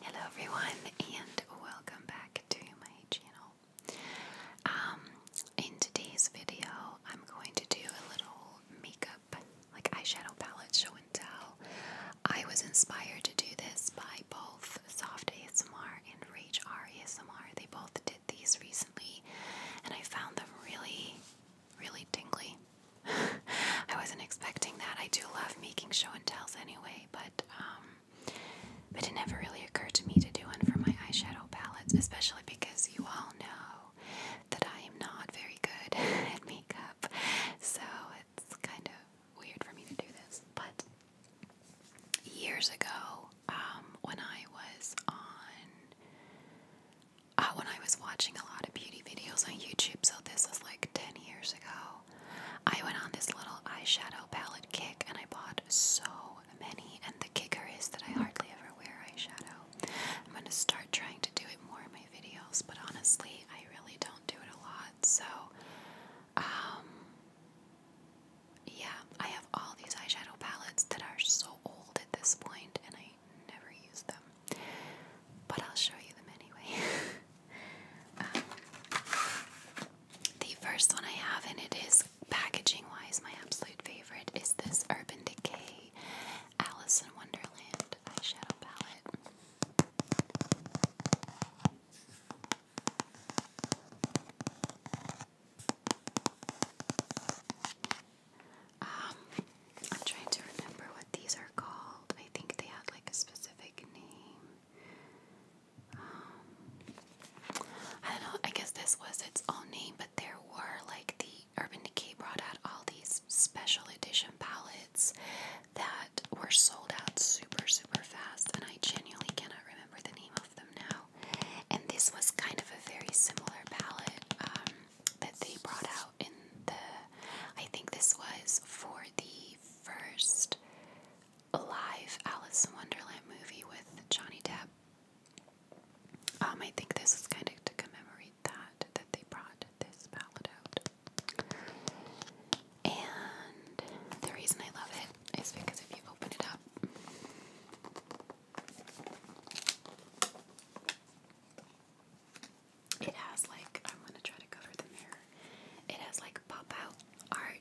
Hello everyone and welcome back to my channel. Um, in today's video I'm going to do a little makeup, like eyeshadow palette show and tell. I was inspired to do this by both Soft ASMR and Rage R ASMR. They both did these recently and I found them really, really dingly. I wasn't expecting that. I do love making show and tells anyway but um, but it never really occurred to me to do one for my eyeshadow palettes, especially because you all know that I am not very good at makeup, so it's kind of weird for me to do this. But years ago, um, when I was on. Uh, when I was watching a lot of beauty videos on YouTube, so this was like 10 years ago, I went on this little eyeshadow palette kick and I bought so many. And the kicker is that I hardly ever wear eyeshadow. I'm going to start trying to do it more in my videos, but honestly, I really don't do it a lot. So, um, yeah, I have all these eyeshadow palettes that are so old at this point and I never use them. But I'll show you them anyway. the first one I have, and it is packaging wise my absolute favorite, is this Urban Decay Alice in Wonderland eyeshadow palette. Um, I'm trying to remember what these are called. I think they had like a specific name. Um, I don't know, I guess this was its own name, but there were like the Urban Decay brought out all these special edition palettes that were sold out super, super fast, and I genuinely cannot remember the name of them now. And this was kind of a very similar palette um, that they brought out in the, I think this was for the first live Alice in Wonderland movie with Johnny Depp. Um, I think this is kind of to commemorate that, that they brought this palette out. And the reason I love it is because if you open it up, it has like, I'm gonna try to cover the mirror. It has like pop out art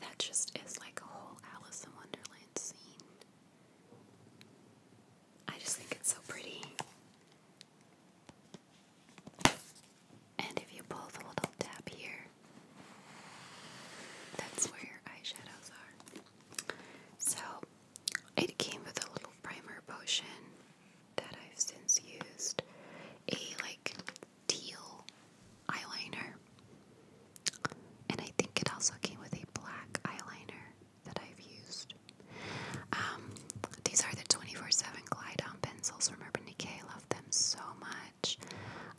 that just is like a whole Alice in Wonderland scene. I just think it's so pretty. And if you pull the little tab here, that's where your eyeshadows are. So, it came with a little primer potion that I've since used a like teal eyeliner. And I think it also came with a black eyeliner that I've used. Um, these are the 24 7 Glide On pencils from Urban Decay. I love them so much.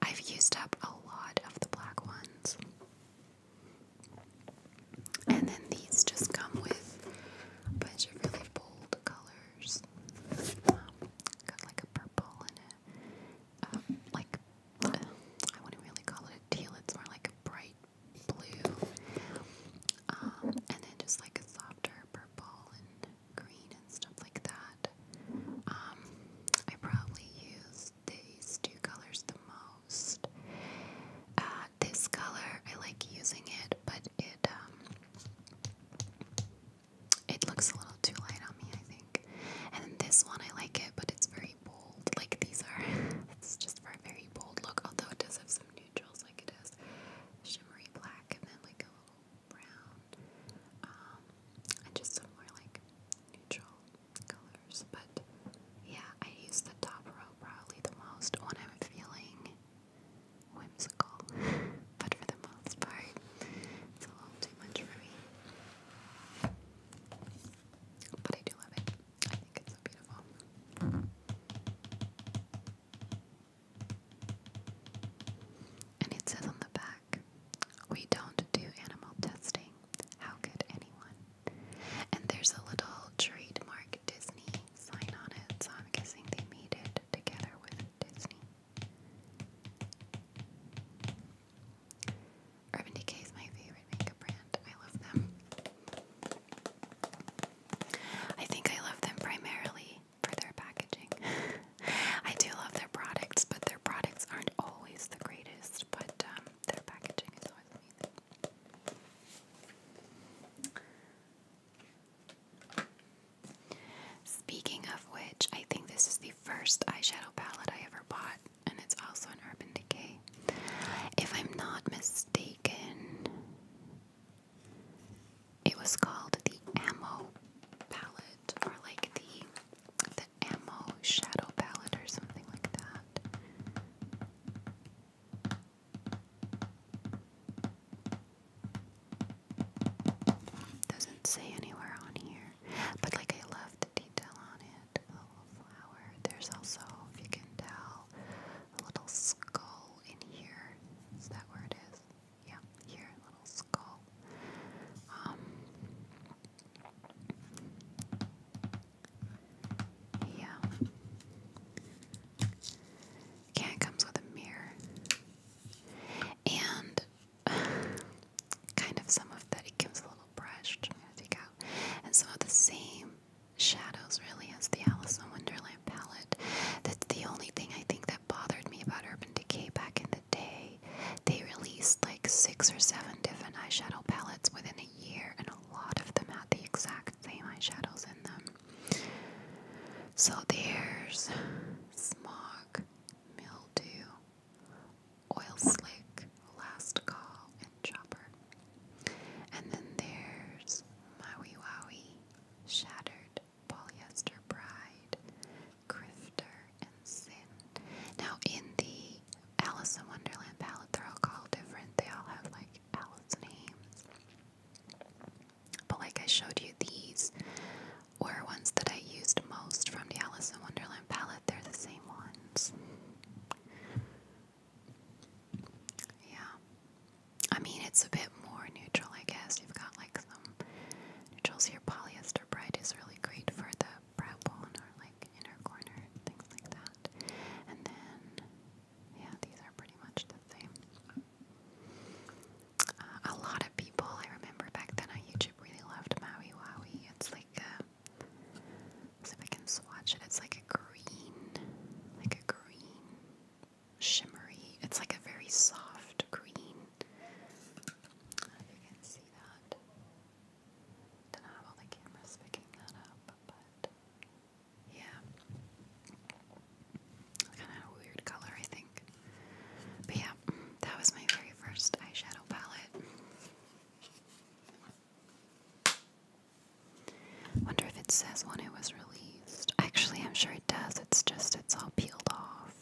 I've used up a lot of the black ones. And then these just come with a bunch of really bold colors like a purple and um, like, uh, I wouldn't really call it teal, it's more like a bright blue. Um, and then just like a softer purple and green and stuff like that. Um, I probably use these two colors the most. Uh, this color. I like using it, but it um, it looks a little too light on me, I think. And then this one, I like it, but it's very bold. Like these are, it's just for a very bold look. Although it does have some neutrals, like it has shimmery black and then like a little brown, um, and just some more like neutral colors. But yeah, I use the top row probably the most when I'm feeling whimsical, but for the most part, it's a little too much for me. But I do love it. I think it's so beautiful. And it says on the back, we don't do animal testing. How could anyone? And there's a little trademark Disney sign on it, so I'm guessing they made it together with Disney. Urban Decay is my favorite makeup brand. I love them. I think I love them primarily for their packaging. I do love their products, but their products aren't always the greatest, but um, their packaging is always amazing. Speaking of which, I think this is the first eyeshadow palette I ever bought, and it's also an Urban Decay. If I'm not mistaken, it was called the Ammo palette, or like the the Ammo shadow palette, or something like that. Doesn't say anywhere on here, but like I love the detail on it. little flower. There's also, if you can tell, a little skull in here. Is that where it is? Yeah, here, little skull. Um, yeah. Yeah, it comes with a mirror. And kind of some of that, it gives a little brush, I'm out. And some of the same shadows, really, as the Alice in Wonderland palette. That's the only thing I think that bothered me about Urban Decay back in the day. They released like six or seven different eyeshadow palettes within a year, and a lot of them had the exact same eyeshadows in them. So there's smog, mildew, oil slick, last call, and chopper. And then there's Maui Wowie, shattered, polyester bride, grifter, and sin. Now in the Alice in Wonderland palette, they're all called different. They all have like Alice names. But like I showed you, these were ones that I used most from the Alice in Wonderland palette. They're the same ones. Yeah. I mean, it's a bit more neutral, I guess. You've got like some neutrals here. Polyester Bright is really great for the brow bone or like inner corner, things like that. And then, yeah, these are pretty much a lot of people, I remember back then on YouTube, really loved Maui Wowie. It's like a, uh, if I can swatch it. It's like a green, like a green, shimmery. It's like a very soft green. if you can see that. Don't know how the camera's picking that up, but yeah. kind of a weird color, I think. But yeah, that was my very first eyeshadow palette. Wonder if it says when it was released. Actually, I'm sure it does. It's just it's all peeled off.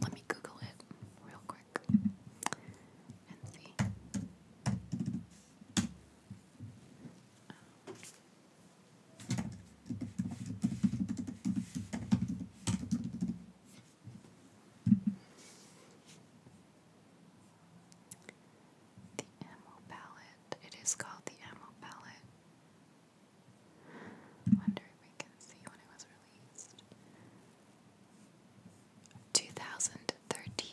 Let me Google it real quick the ammo palette. It is called the ammo palette. Wonder if we can see what it was 2013.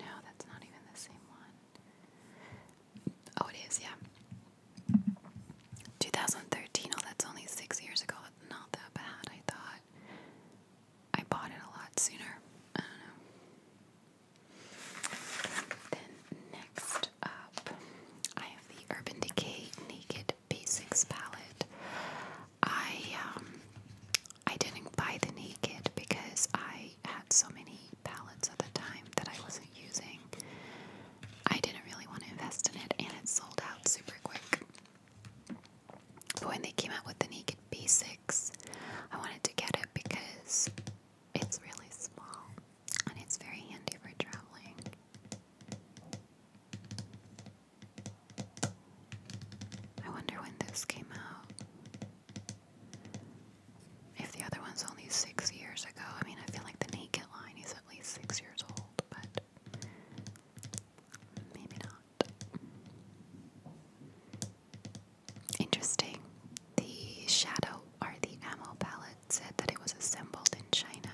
No, that's not even the same one. Oh, it is, yeah. 2013. Oh, that's only six years ago. Not that bad, I thought. I bought it a lot sooner. I don't know. Then, next up, I have the Urban Decay Naked Basics palette. I um I didn't buy the naked because I had so many palettes at the time that I wasn't using. I didn't really want to invest in it and it sold out super quick. But when they came out with the naked basics, I wanted to get it because it's really small and it's very handy for traveling. I wonder when this came out. If the other one's only six years ago, I mean, I feel like the naked line is at least six years old, but maybe not. Interesting. The shadow or the ammo palette said that it was assembled in China.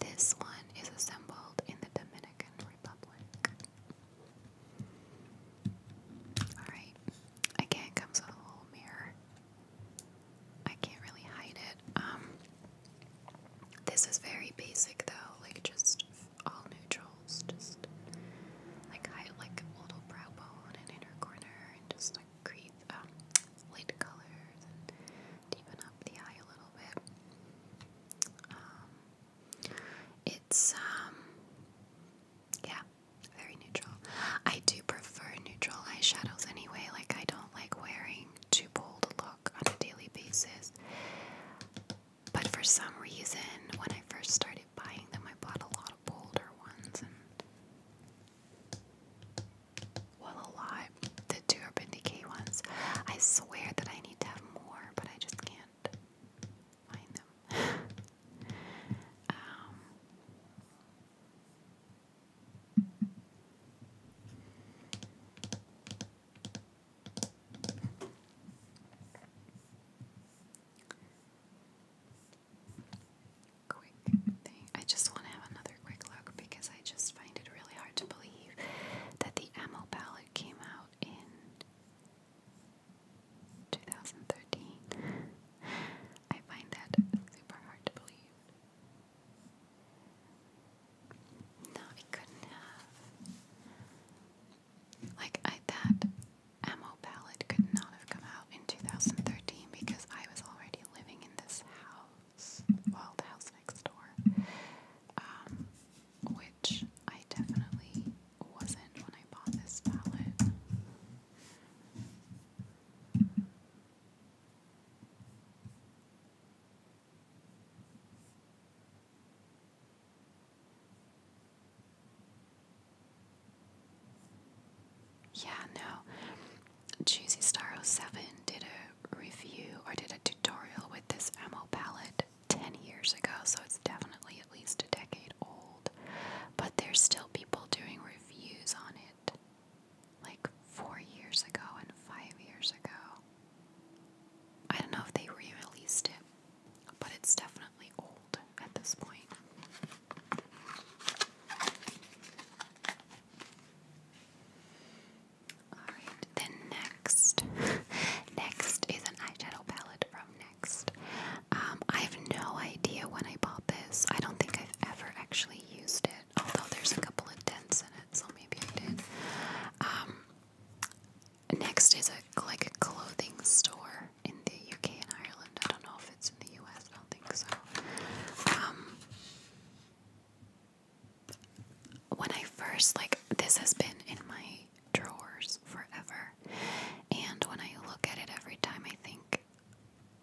This one is assembled in the Dominican Republic. Alright. Again, comes with a little mirror. I can't really hide it. Um, this is very basic though, like just all neutrals, just like high, like a little brow bone and inner corner, and just like create um, light colors and deepen up the eye a little bit. Um, it's, um, yeah, very neutral. I do prefer neutral eyeshadows anyway, like, I don't like wearing too bold a look on a daily basis. But for some reason, when I first started buying them, I bought a lot of bolder ones, well, a lot. The two Urban Decay ones. I swear that I need to have more, but I just can't find them. um. Quick thing. I just want to have another another quick look because I just find it really hard to believe that the ammo palette came out in 2013. I find that super hard to believe. No, it couldn't have. Like, that ammo palette could not have come out in 2013 because I was already living in this house house, house next door, um, which I definitely wasn't when I bought this palette. Yeah, no, Choosy Star 07 did a review or did a tutorial with this ammo palette 10 years ago, so it's definitely at least a decade old. But there's still people doing reviews on it like four years ago and five years ago. I don't know if they released it, but it's definitely old at this point. Alright, then next. next is an eyeshadow palette from Next. Um, I have no idea when I bought this. I don't think I've ever actually used it, although there's a couple of dents in it, so maybe I did. Um, next is a like clothing store in the UK and Ireland. I don't know if it's in the US, I don't think so. Um, when I first like this has been in my drawers forever, and when I look at it every time, I think,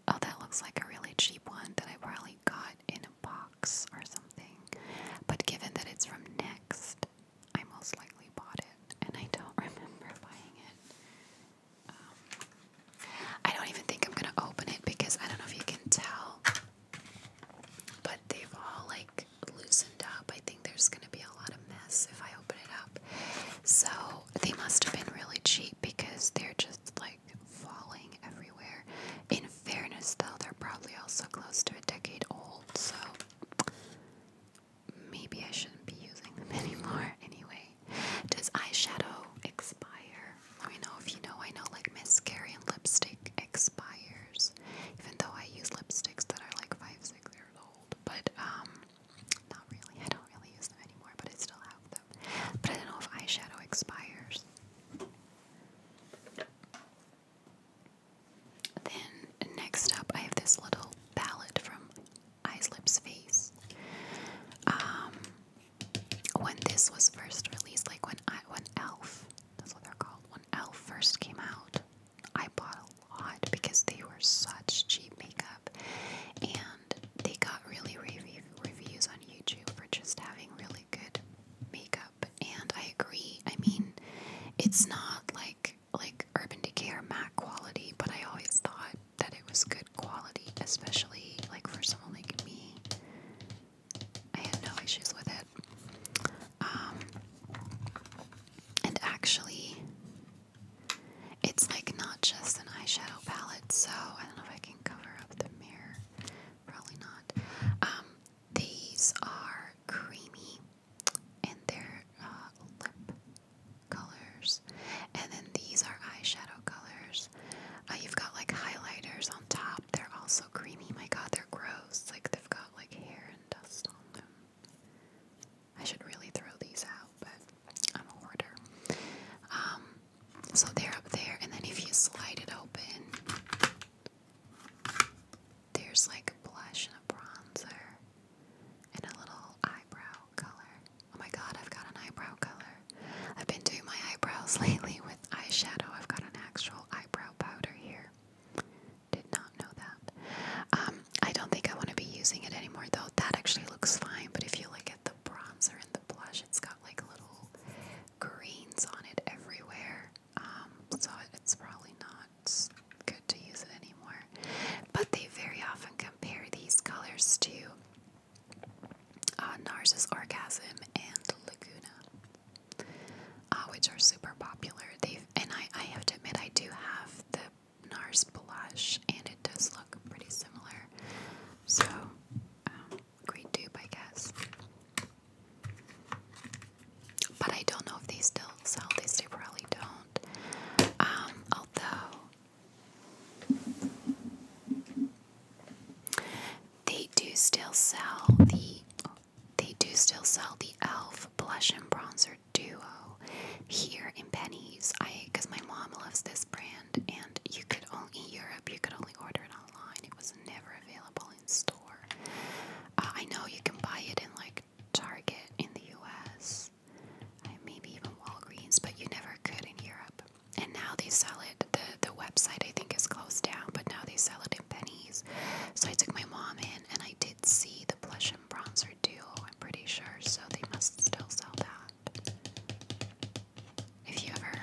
oh, that looks like a really cheap one that I probably got in a box or something. But given that it's from Next, I most likely bought it, and I don't remember buying it. Um, I don't even think I'm gonna open it because I don't know if you can tell. But they've all like loosened up. I think there's gonna be a lot of mess if I open it up. So they must have been really cheap because they're just like falling everywhere. In fairness though, they're probably also close to a decade old, so maybe I shouldn't be using them anymore anyway. Does eyeshadow expire? Let me know if you know. I know like mascara and lipstick expires, even though I use lipsticks that are like five, six years old. But um, not really. I don't really use them anymore, but I still have them. But I don't know if eyeshadow expires. Then next up, I have this little palette from Eyes Lips Face. Um, when this was first released, like when I when Elf, that's what they're called, when Elf first came out, I bought a lot because they were such cheap makeup, and they got really rave reviews on YouTube for just having really good makeup. And I agree. I mean, it's not like like Urban Decay or Mac quality, but I always thought that it was good quality, especially like for someone like me I had no issues with it. Um, and actually, it's like not just an eyeshadow palette, so I don't know if I can cover up the mirror. Probably not. Um, these are creamy and they're uh, lip colors, and then these are eyeshadow colors. Uh, you've got like highlighters on top they're also creamy. My god, they're gross. Like, they've got like hair and dust on them. I should really throw these out, but I'm a hoarder. Um, so they're up there, and then if you slide it open, there's like blush and a bronzer and a little eyebrow color. Oh my god, I've got an eyebrow color. I've been doing my eyebrows lately with eyeshadow. I've got an actual eyebrow powder here. Did not know that. Um, I don't think I want to be using it anymore though. That actually looks fine, but if you look at the bronzer and the blush, it's got like little greens on it everywhere. Um, so it's probably not good to use it anymore. But they very often compare these colors to uh, Nars Narcissus Orgasm, and Laguna, uh, which are super popular. They've and I, I have to admit I do have the NARS blush, and it does look pretty similar. So, um, great dupe, I guess. But I don't know if they still sell these. They probably don't. Um, although they do still sell the they do still sell the Elf blush and bronzer duo here in pennies. I because my mom loves this brand, and you could only Europe you could only order it online. It was never available in store. Uh, I know you can buy it in like Target in the U.S. maybe even Walgreens, but you never could in Europe and now they sell it. The, the website, I think, is closed down, but now they sell it in pennies. So I took my mom in, and I did see the blush and bronzer duo, I'm pretty sure, so they must still sell that. If you ever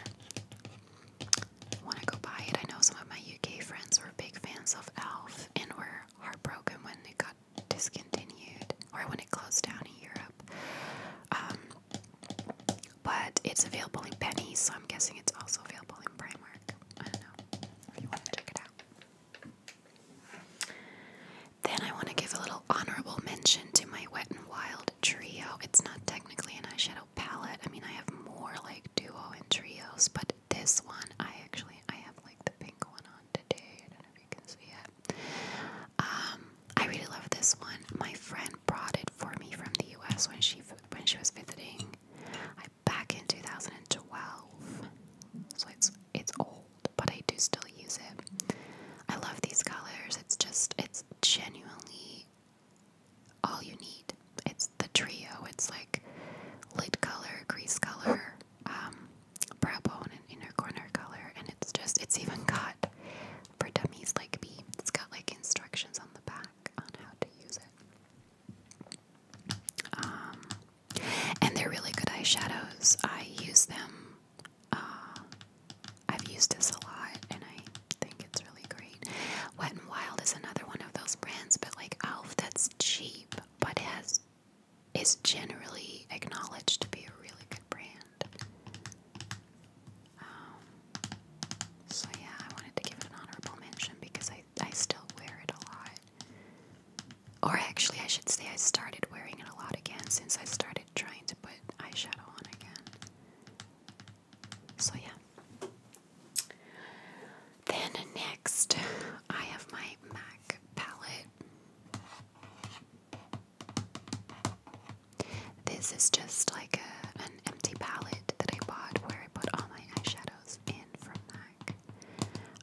want to go buy it, I know some of my UK friends were big fans of ELF and were heartbroken when it got discontinued or when it closed down in Europe. Um, but it's available in pennies, so I'm guessing it's also available in Primark. I know you want to check it out. Then I want to give a little honorable mention to my Wet n Wild Trio. It's not technically an eyeshadow palette. I mean, I have more like duo and trios, but this one I actually I have like the pink one on today. I don't know if you can see it. Um, I really love this one. My friend brought it for me from the U.S. when she when she was visiting. back in 2012, so it's it's old, but I do still use it. I love these colors. It's just it's genuinely all you need. It's the trio. It's like lid color, crease color, um, brow bone, and inner corner color, and it's just it's even got for Dummies Like Me. It's got like instructions on the back on how to use it. Um, and they're really good eyeshadows. I use them. Uh, I've used this a lot, and I think it's really great. Wet and Wild is another one of those brands, but like Elf, that's cheap, but has is generally acknowledged to be a really good brand. Um, so yeah, I wanted to give it an honorable mention because I, I still wear it a lot. Or actually, I should say I started wearing it a lot again since I started trying to put eyeshadow on again. So yeah. Then next, I have my MAC palette. This is just like an empty palette that I bought where I put all my eyeshadows in from MAC.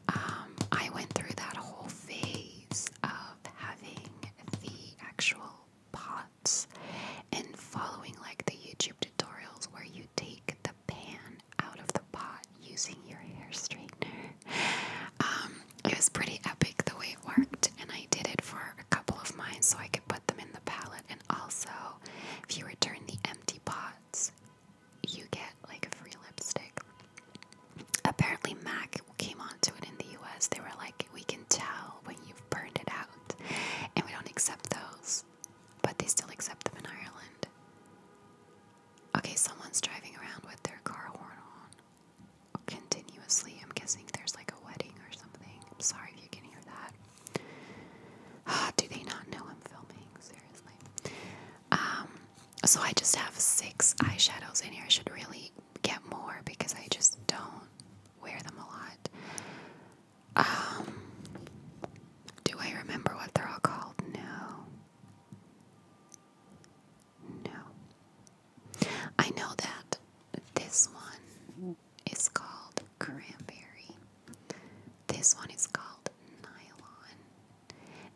Um, I went through that whole phase of having the actual pots and following like the YouTube tutorials where you take the pan out of the pot using your hair straightener. Um, it was pretty epic the way it worked, and I did it for a couple of mine so I could put them in the palette. And also, if you return the empty pots, you get like a free lipstick. Apparently, MAC came onto it in the US. They were like, we can tell when you've burned it out, and we don't accept those, but they still accept them in Ireland. Okay, someone's driving around with their car horn on continuously. I'm guessing there's like a wedding or something. I'm sorry if you can hear that. do they not know I'm filming? Seriously. Um, so I just have six eyeshadows in here. I should really get more because I just don't wear them a lot. Um, do I remember what they're all called? No. No. I know that this one is called cranberry. This one is called nylon.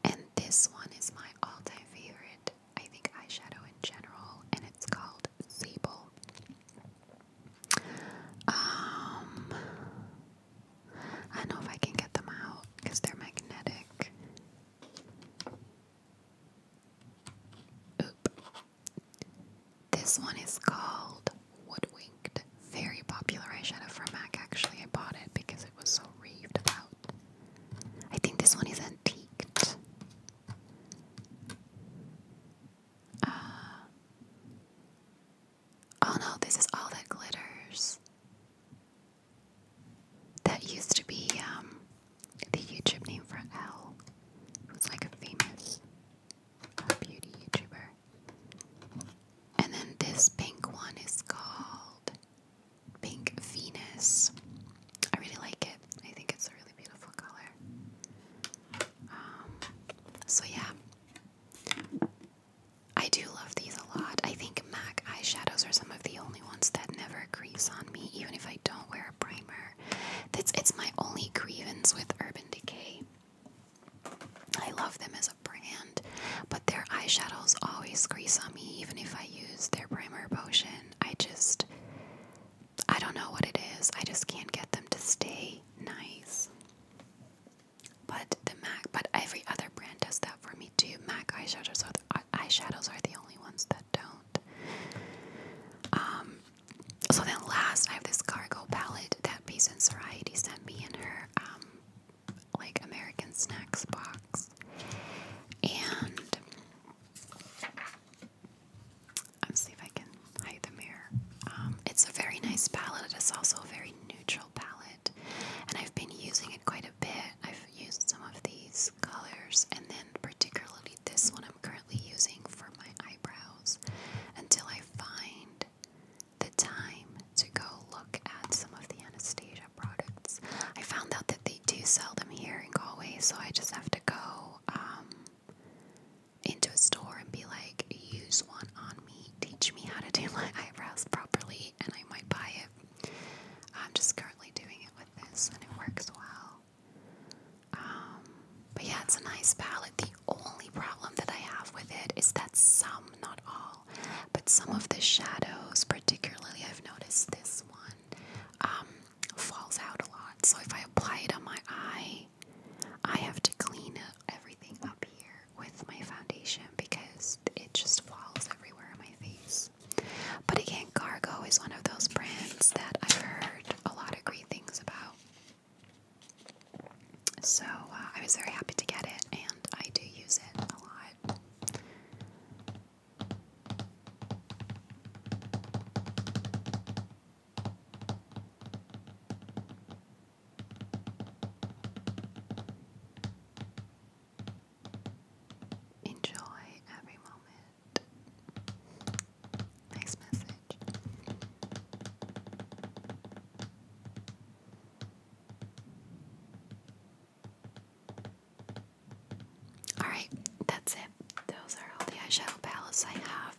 And this one is my all time favorite, I think, eyeshadow in general, and it's called Sable. Um, I don't know if I can get them out because they're magnetic. Oop. This one is called Woodwinked. Very popular eyeshadow from MAC. Actually, I bought it because it was so raved about. I think this one is antiqued. Uh, oh no, this is all that glitters. That used to be um, the YouTube name for Elle, who's like a famous beauty YouTuber. And then this pink one is called Pink Venus. I really like it. I think it's a really beautiful color. Um, so yeah. I do love these a lot. I think MAC eyeshadows are some of the only ones that never crease on me, even if I don't wear a primer there. That's it's my only grievance with Urban Decay. I love them as a brand, but their eyeshadows always grease on me, even if I use their primer potion. I just I don't know what it is. I just can't get them to stay nice. But the MAC, but every other brand does that for me too. MAC eyeshadows are eyeshadows are the only ones that don't. Um, so then last, I have this cargo palette that Peace and Soriety sent me in her, um, like, American snacks box. And let's see if I can hide the mirror. Um, it's a very nice palette. It's also a very neutral palette. And I've been using it quite a bit. I've used some of these colors and then particularly this one I'm currently using for my eyebrows until I find the time to go look at some of the Anastasia products. I found out that they do sell them here in Galway, so I just have to go um, into a store and be like, use one on me, teach me how to do my eyebrows properly, and I might buy it. I'm just currently doing it with this, and it works well. Um, but yeah, it's a nice palette. The only problem that I have with it is that some, not all, but some of the shadows, particularly I've noticed this one, um, falls out a lot. So if I apply it on my eye, I have to clean everything up here with my foundation because it just falls everywhere on my face. But again, Cargo is one of those brands that I've heard a lot of great things about. So uh, I was very happy to get it, and I do use it a lot. Enjoy every moment. Nice message. Alright, that's it. Those are all the eyeshadow palettes I have.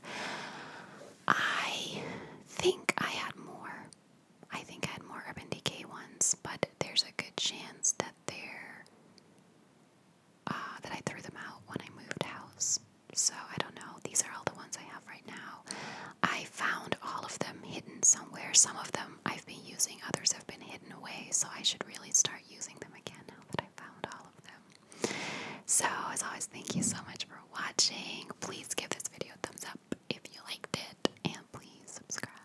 I think I had more. I think I had more Urban Decay ones, but there's a good chance that they uh, that I threw them out when I moved house. So I don't know. These are all the ones I have right now. I found all of them hidden somewhere. Some of them I've been using, others have been hidden away. So I should really start using them again now that I found all of them. So, as always, thank you so much for watching. Please give this video a thumbs up if you liked it, and please subscribe.